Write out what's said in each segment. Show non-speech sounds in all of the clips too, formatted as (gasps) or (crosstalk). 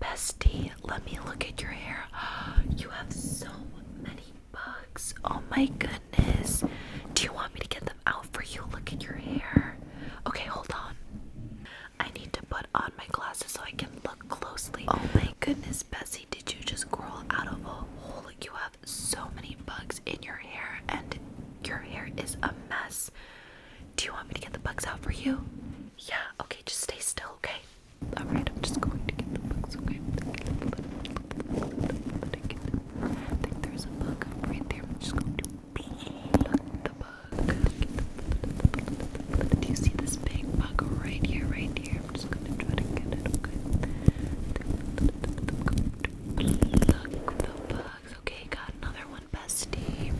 Bestie, let me look at your hair. (gasps) You have so many bugs. Oh my goodness. Do you want me to get them out for you? Look at your hair. Okay, hold on. I need to put on my glasses so I can look closely. Oh my goodness, Bessie, did you just crawl out of a hole? You have so many bugs in your hair, and your hair is a mess. Do you want me to get the bugs out for you? Yeah, okay, just stay still, okay? Alright, I'm just going to get the bugs, okay? there's a bug right there. I'm just going to pluck the bug. Do you see this big bug right here, right here? I'm just gonna try to get it, okay? Pluck the bug. Okay, got another one, bestie.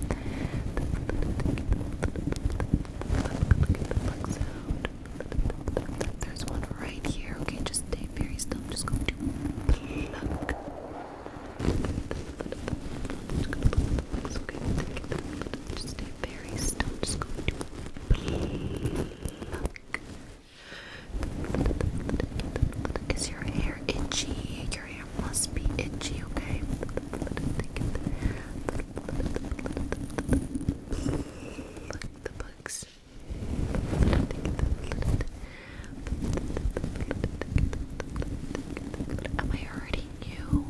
There's one right here. Okay, just stay very still. just going to pluck. Okay, just stay very still. just going to pluck. Pluck. Is your hair itchy? Your hair must be itchy, okay? The bugs. Am I hurting you?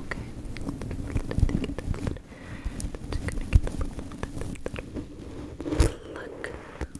Okay. Look,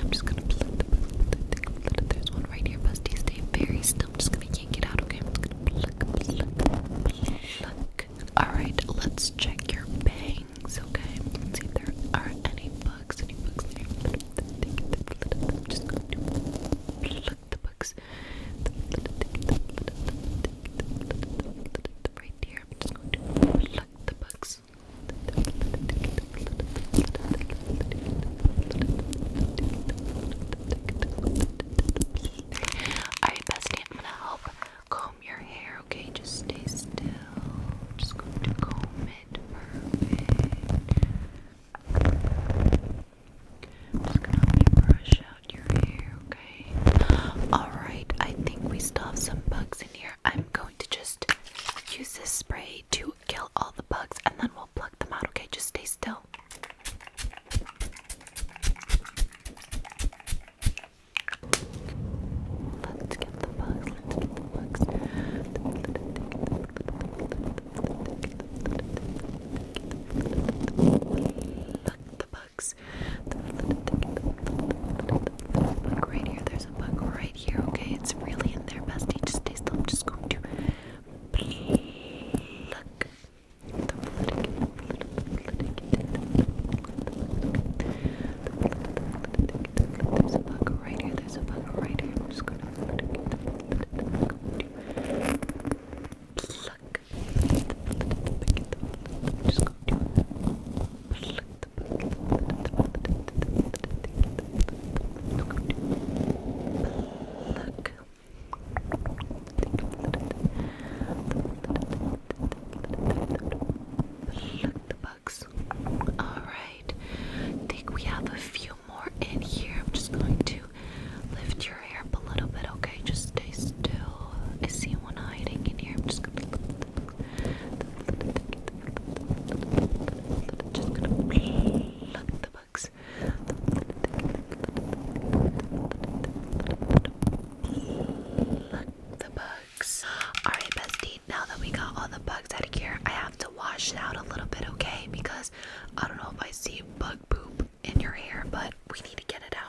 I'm just gonna blend There's one right here, Busty. Stay very still. just gonna yank it out, okay? i Alright, let's check your bangs, okay? Let's see if there are any bugs, any bugs there. just going to pluck the bugs. Right here, just going to pluck the bugs. Alright, bestie, I'm gonna help comb your hair, okay? Just stay still. Just going to comb it. Perfect. just gonna help you brush out your hair, okay? Alright, I think we still have some bugs in here. I'm going to just use this spray to kill all the bugs and then we'll will pluck them out, okay? Just stay still. Let's get the bugs, let's get the bugs. the bugs. right here, there's a bug right here, okay? It's really in there. best just Stay still. I'm just going to pluck There's a bug right here. There's a bug right here. I'm just going to pluck. Look. Look the bugs. Alright. I think we have a few more in here. I'm just going to lift your hair up a little bit, okay? Just stay still. I see one hiding in here. I'm just gonna just gonna love Look the bugs. Alright, bestie, now that we got all the bugs out of here, I have to wash it out a little bit, okay? Because I don't know if I see bug poop in your hair, but we need to get it out.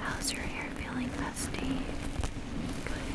How's your hair feeling, Dusty? Good.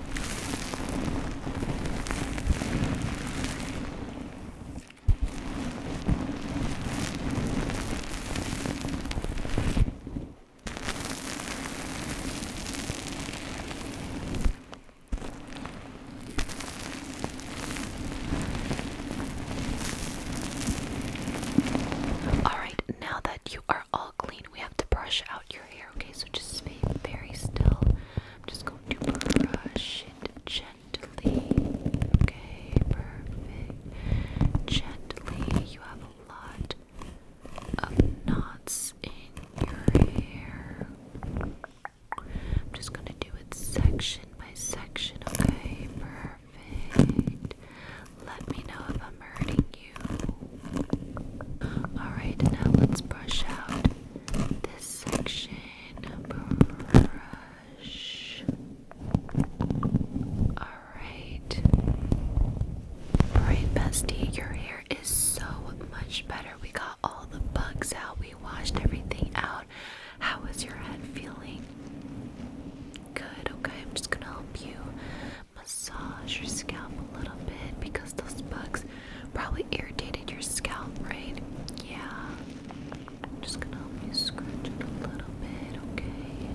All right, now that you are all clean, we have to brush out your hair okay? So just stay very still. I'm just going to brush it gently, okay? Perfect. Gently. You have a lot of knots in your hair. I'm just gonna do it section by section, okay? Perfect. Let me know if I'm hurting you. Alright, now let's brush out section brush. Alright. Alright, bestie, your hair is so much better. We got all the bugs out, we washed everything out. How is your head feeling? Good, okay, I'm just gonna help you massage your scalp a little bit because those bugs Probably irritated your scalp, right? Yeah. I'm just gonna help you scratch it a little bit, okay?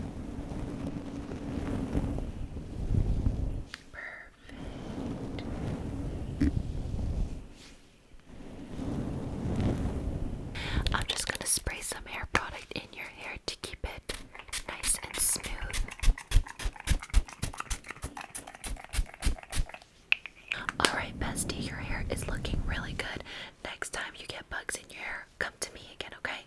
Perfect. I'm just gonna spray some hair product in your hair to keep it nice and smooth. Alright, bestie, your hair is looking really good. Next time you get bugs in your hair, come to me again, okay?